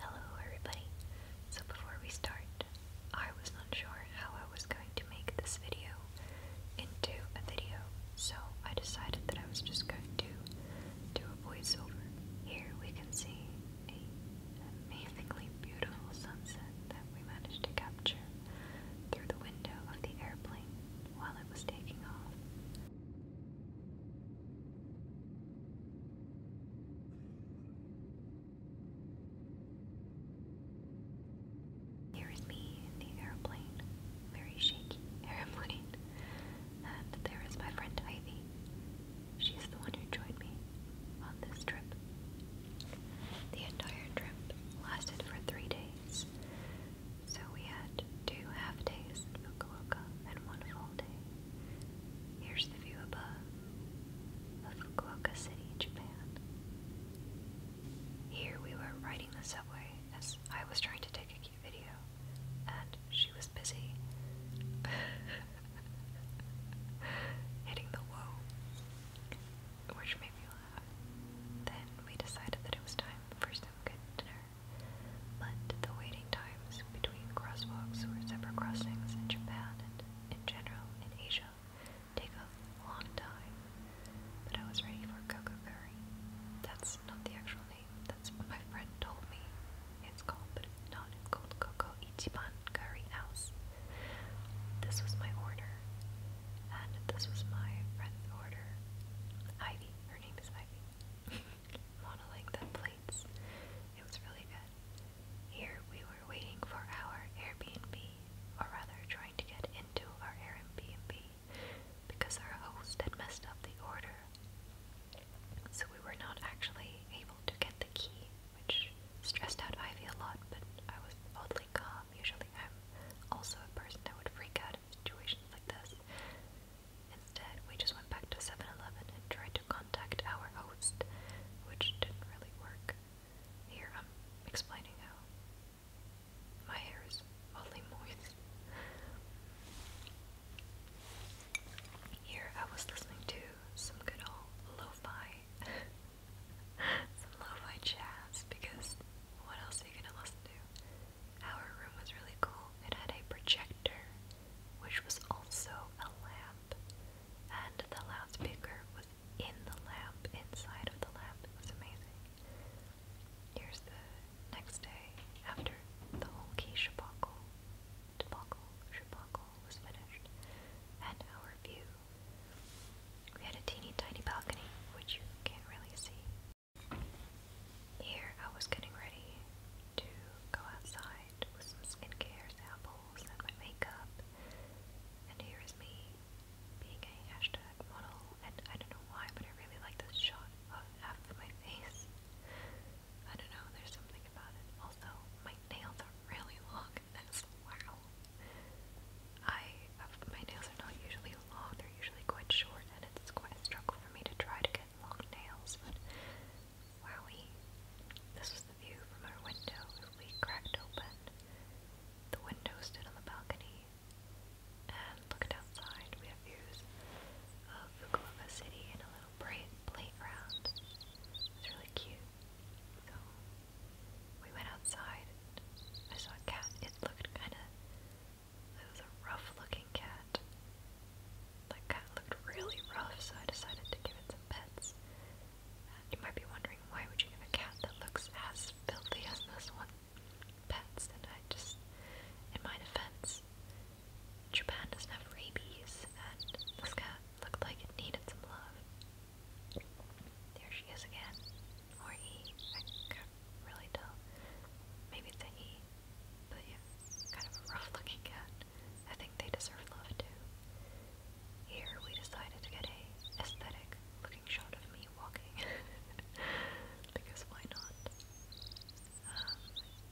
Hello, everybody. So, before we start, I was not sure how I was going to make this video into a video, so I decided that I was just going to do a voiceover. Here we can see a amazingly beautiful sunset that we managed to capture through the window of the airplane while it was taking off. There is me in the airplane, very shaky airplane, and there is my friend Ivy. She's the one who joined me on this trip. The entire trip lasted for three days, so we had two half days in Fukuoka and one full day Here's the view above of Fukuoka City, Japan. Here we were riding the subway as I was trying to take a cute video, and she was busy hitting the whoa, which made me laugh. Then we decided that it was time for some good dinner, but the waiting time between crosswalks or separate crossings in Japan and, in general, in Asia take a long time. But I was ready for Coco Curry. That's not the actual name, that's what my friend told me it's called, but it's not. It's called Coco Ichiban Curry House. This was my order, and this was my friend's order. Ivy, her name is Ivy. Modeling the plates. It was really good. Here we were waiting for our Airbnb, or rather trying to get into our Airbnb because our host had messed up the order. So we were not actually able to get the key, which stressed out Ivy a lot, but I was oddly calm. Usually I'm also a person that would freak out in situations like this. Instead, we just went back to 7 Eleven and tried contact our host, which didn't really work. Here I'm explaining how. My hair is oddly moist. Here I was listening to some good old lo some lo jazz, because what else are you gonna listen to? Our room was really cool. It had a projector, which was also a lamp and the loudspeaker was in the lamp, inside of the lamp. It was amazing. Here's the next day after the whole key debacle, debacle, debacle was finished, and our view. We had a teeny tiny balcony, which you can't really see. Here I was getting ready to go outside with some skincare samples and my makeup. And here is me being a hashtag model, and I don't know why, but I really like this shot of half of my face. I don't know, there's something about it. Also, my nails are really long Wow. I, uh, my nails are not usually long, they're usually quite short, and it's quite a struggle for me to try to get long nails, but were we? This was the view from our window we cracked open. The window stood on the balcony. And looked outside, we have views of Fukuoka City and a little bright playground. It's really cute. So we went outside. I saw a cat. It looked kind of. It was a rough-looking cat that cat looked really rough, so I decided to give it some pets. Uh, you might be wondering why would you give a cat that looks as filthy as this one pets? And I just, in my defense, Japan doesn't have rabies, and this cat looked like it needed some love. There she is again, or he. I can't really tell. Maybe it's a he, but kind of a rough looking cat. I think they deserve love too. Here we decided to get a aesthetic looking shot of me walking. because why not? Um,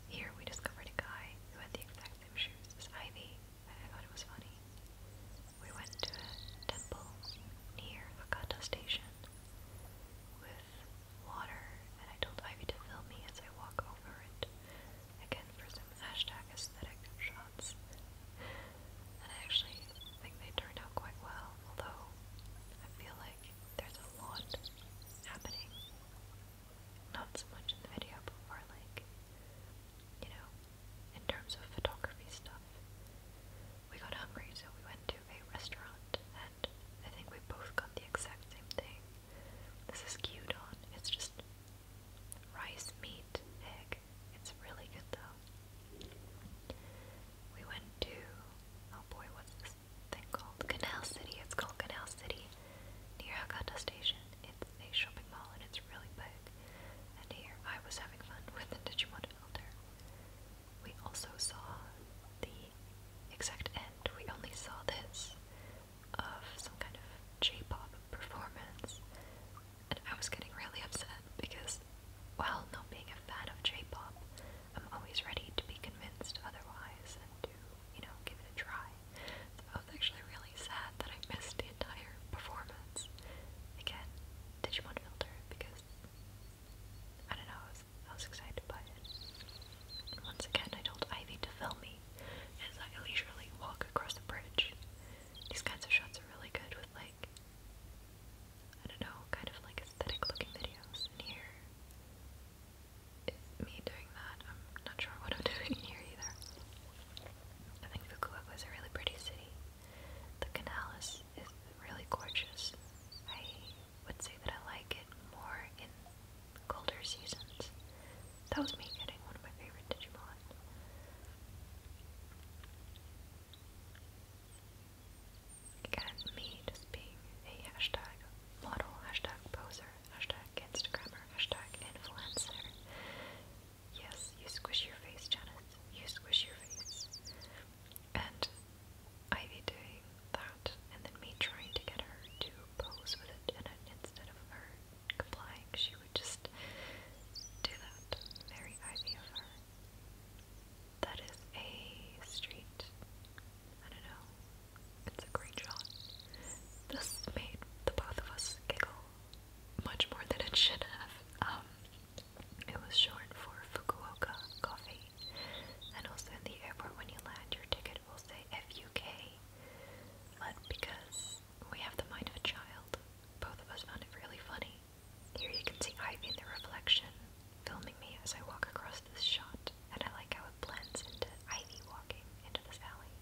here we discovered a guy who had the exact same shoes as Ivy, I thought it was funny. We went to a temple near Hakata Station with water, and I told Ivy to film me as I walk over it again for some hashtag aesthetic shots. And I actually think they turned out quite well, although I feel like there's a lot happening. Not so much in the video, but more like, you know, in terms of photography stuff. We got hungry, so we went to a restaurant, and I think we both got the exact same thing. This is Qdon. It's just rice meat egg. It's really good though. We went to oh boy, what's this thing called? Canal City. It's called Canal City near Hakata Station. It's a shopping mall and it's really big. And here I was having fun with the Digimon Elder. We also saw the exact end. We only saw this of some kind of J-pop performance, and I was getting really upset because while not being a fan of J-pop, I'm always ready to be convinced otherwise and to, you know, give it a try. So I was actually really sad that I missed the entire performance. Again, Digimon Filter, because I don't know, I was, I was excited by it. And once again, I told Ivy to film me me as I leisurely walk across the bridge. These kinds of shots are really good with like I don't know, kind of like aesthetic looking videos. And here is me doing that. I'm not sure what I'm doing here either. I think Fukuoka is a really pretty city. The canal is, is really gorgeous. I would say that I like it more in colder seasons. That was me getting one of my favorite digital. Again, me just being a hashtag model, hashtag poser, hashtag Instagrammer, hashtag influencer. Yes, you squish your face, Janice. You squish your face. And I be doing that, and then me trying to get her to pose with it, and it, instead of her complying, she would just do that. Very ivy of her. That is a street. I don't know. It's a great shot. This made the both of us giggle much more than it should have. Um, it was short for Fukuoka Coffee. And also in the airport, when you land, your ticket will say FUK. But because we have the mind of a child. Both of us found it really funny. Here you can see Ivy in the reflection, filming me as I walk across this shot, and I like how it blends into Ivy walking into this alley.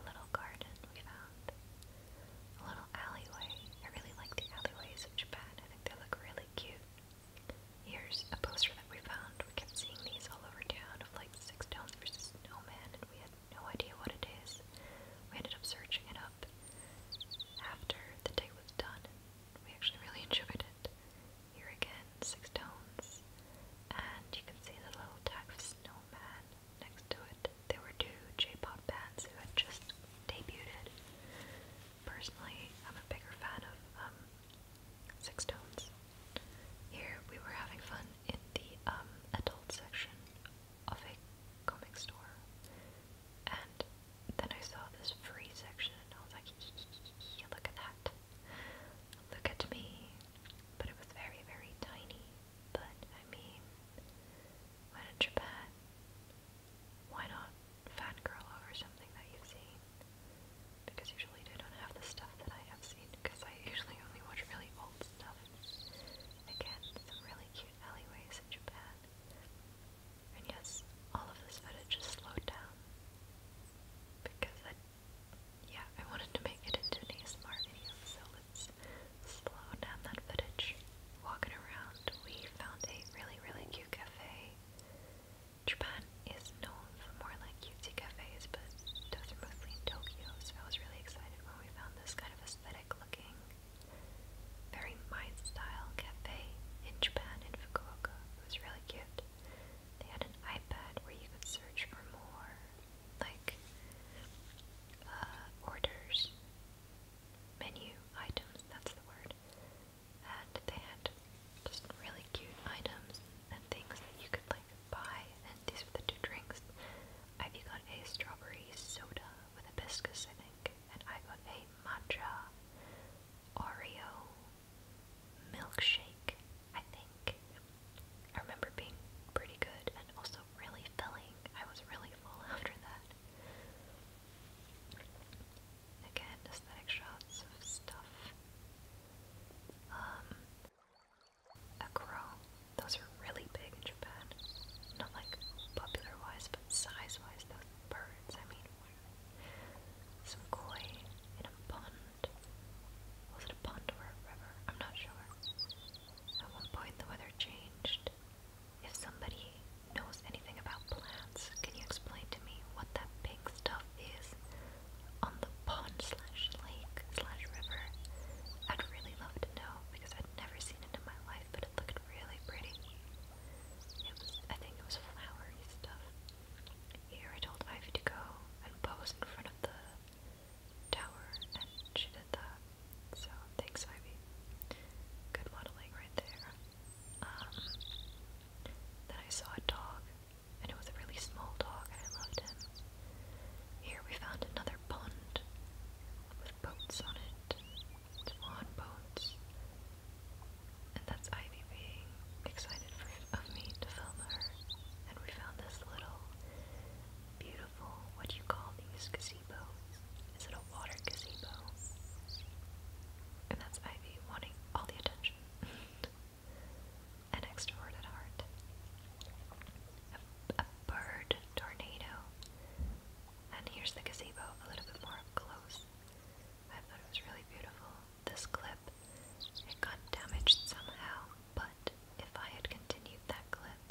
A little garden we found. A little alleyway. I really like the alleyways of Japan. I think they look really cute. Here's a poster that we found. We kept seeing these all over town of like Six Stones versus Snowman, and we had no idea what it is. We ended up searching it up after the day was done. We actually really enjoyed it. Here again, six tones, and you can see the little tag of Snowman next to it. There were two J-pop bands who had just debuted. Personally, I'm a bigger fan of um, Six Tones. Here we were having fun in the um, adult section of a comic store, and then I saw this free section, and I was like, look at that, look at me. But it was very, very tiny. But I mean, when in Japan, why not fangirl over something that you've Because usually they don't have the stuff that I have seen, because I usually only watch really old stuff. Again, some really cute alleyways in Japan. And yes, all of this footage is slowed down. Because I, yeah, I wanted to make it into an ASMR video, so let's slow down that footage. Walking around, we found a really, really cute cafe. Japan is known for more like cutesy cafes, but those are mostly in Tokyo, so I was really excited when we found this kind of aesthetic looking, very mind style cafe in Japan, in Fukuoka. It was really cute. They had an iPad where you could search for more, like, uh, orders, menu items, that's the word. And they had just really cute items and things that you could like pie and these were the two drinks. Ivy got a strawberry soda with hibiscus, I think, and I got a matcha Oreo milkshake, I think. I remember being pretty good and also really filling. I was really full after that. Again, aesthetic shots of stuff. Um, a crow. Those are really big in Japan. Not like popular wise, but size wise, those birds. I mean, some koi in a pond. Was it a pond or a river? I'm not sure. At one point, the weather changed. If somebody knows anything about plants, can you explain to me what that pink stuff is on the pond slash lake slash river. I'd really love to know because i have never seen it in my life, but it looked really pretty. It was, I think it was flowery stuff. Here I told Ivy to go and pose in front of the tower, and she did that. So thanks, Ivy. Good modeling right there. Um, then I saw a dog, and it was a really small dog, and I loved him. Here we found another pond with boats on it, swan boats, and that's Ivy being excited for of me to film her. And we found this little beautiful, what you call these gazebos? Is it a water gazebo? And that's Ivy wanting all the attention. an extrovert heart. A, bird tornado. And here's the gazebo a little bit more close. I thought it was really beautiful. This clip, it got damaged somehow, but if I had continued that clip,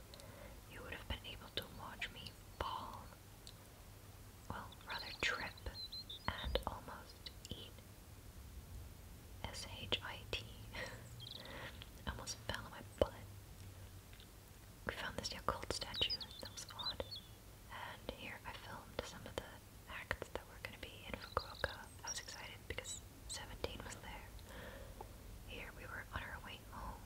you would have been able to watch me fall. Well, rather trip and almost eat S H I T! almost fell on my butt. We found this Yakult statue, that was odd. And here I filmed some of the acts that were going to be in Fukuoka. I was excited because 17 was there. Here we were on our way home.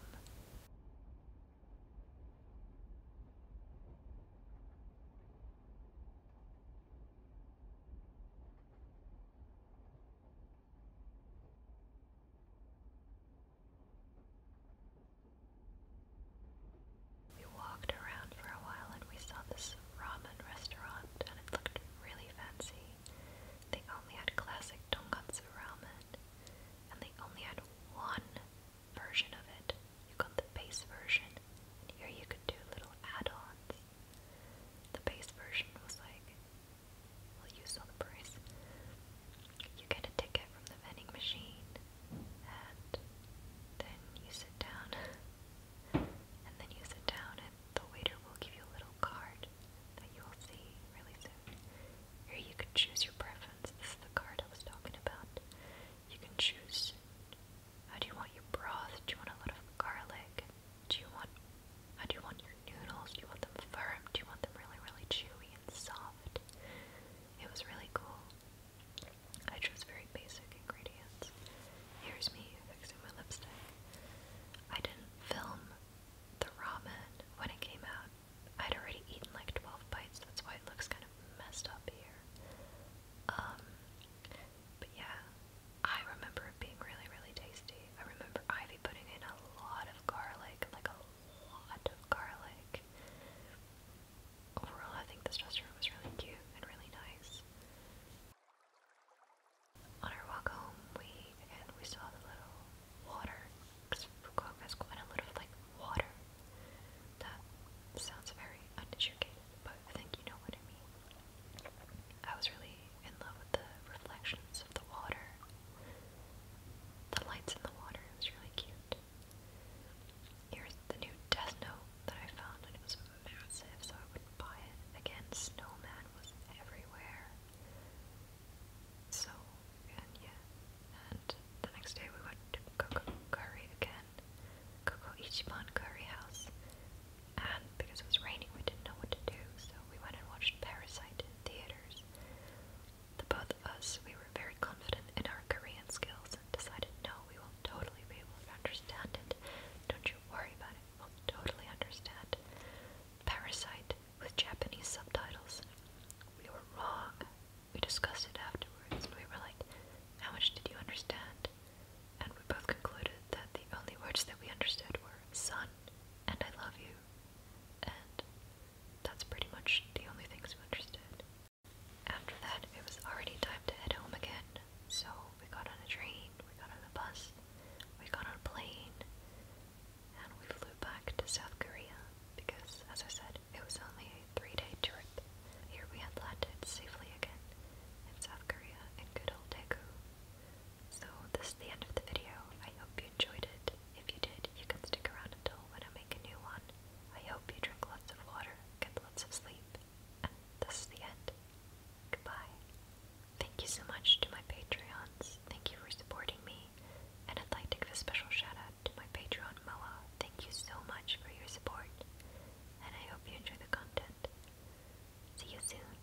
We walked around for a while and we saw this ramen restaurant and it looked really fancy. They only had classic tonkatsu ramen and they only had one version of it. You got the base version and here you could do little add-ons. The base version was like you saw the price. You get a ticket from the vending machine, and then you sit down. And then you sit down, and the waiter will give you a little card that you will see really soon. Here you can choose your preference. This is the card I was talking about. You can choose how uh, do you want your broth? Do you want a lot of garlic do you want how uh, do you want your noodles? Do you want them firm? Do you want them really, really chewy and soft? It was really cool. I chose very basic ingredients. Here's me fixing my lipstick. I didn't film the ramen when it came out. I'd already eaten like 12 bites, that's why it looks kind of messed up here. Um, but yeah, I remember it being really, really tasty. I remember Ivy putting in a lot of garlic, like a lot of garlic. Overall, I think this restaurant was really cute and really nice. On our walk home, we again we saw the little water because Fukuoka has quite a lot like water. That sounds very uneducated, but I think you know what I mean. I was really in love with the reflections of the water, the lights in the water. It was really cute. Here's the new Death Note that I found, and it was massive, so I would buy it. Again, Snowman was everywhere. So, and yeah. And the next day we went to Coco Curry again. Coco Ichiban Curry House and because it was raining, we didn't know what to do, so we went and watched Parasite in theaters. The both of us, we were very confident in our Korean skills and decided, no, we will totally be able to understand it. Don't you worry about it, we'll totally understand. Parasite with Japanese subtitles. We were wrong. We discussed it afterwards, and we were like, how much did you understand? And we both concluded that the only words that we understood were sun and I love you, and that's pretty much the only things we understood. After that, it was already time to head home again, so we got on a train, we got on a bus, we got on a plane, and we flew back to South Korea because, as I said, it was only a three day trip. Here we had landed safely again in South Korea in good old Daegu. So this is the end of the video. I hope you enjoyed it. If you did, you can stick around until when I make a new one. I hope you drink lots of water, get lots of sleep, and this is the end. Goodbye. Thank you so much to my Patreons. Thank you for supporting me. And I'd like to give a special shout out to my Patreon Moa. Thank you so much for your support. And I hope you enjoy the content. See you soon.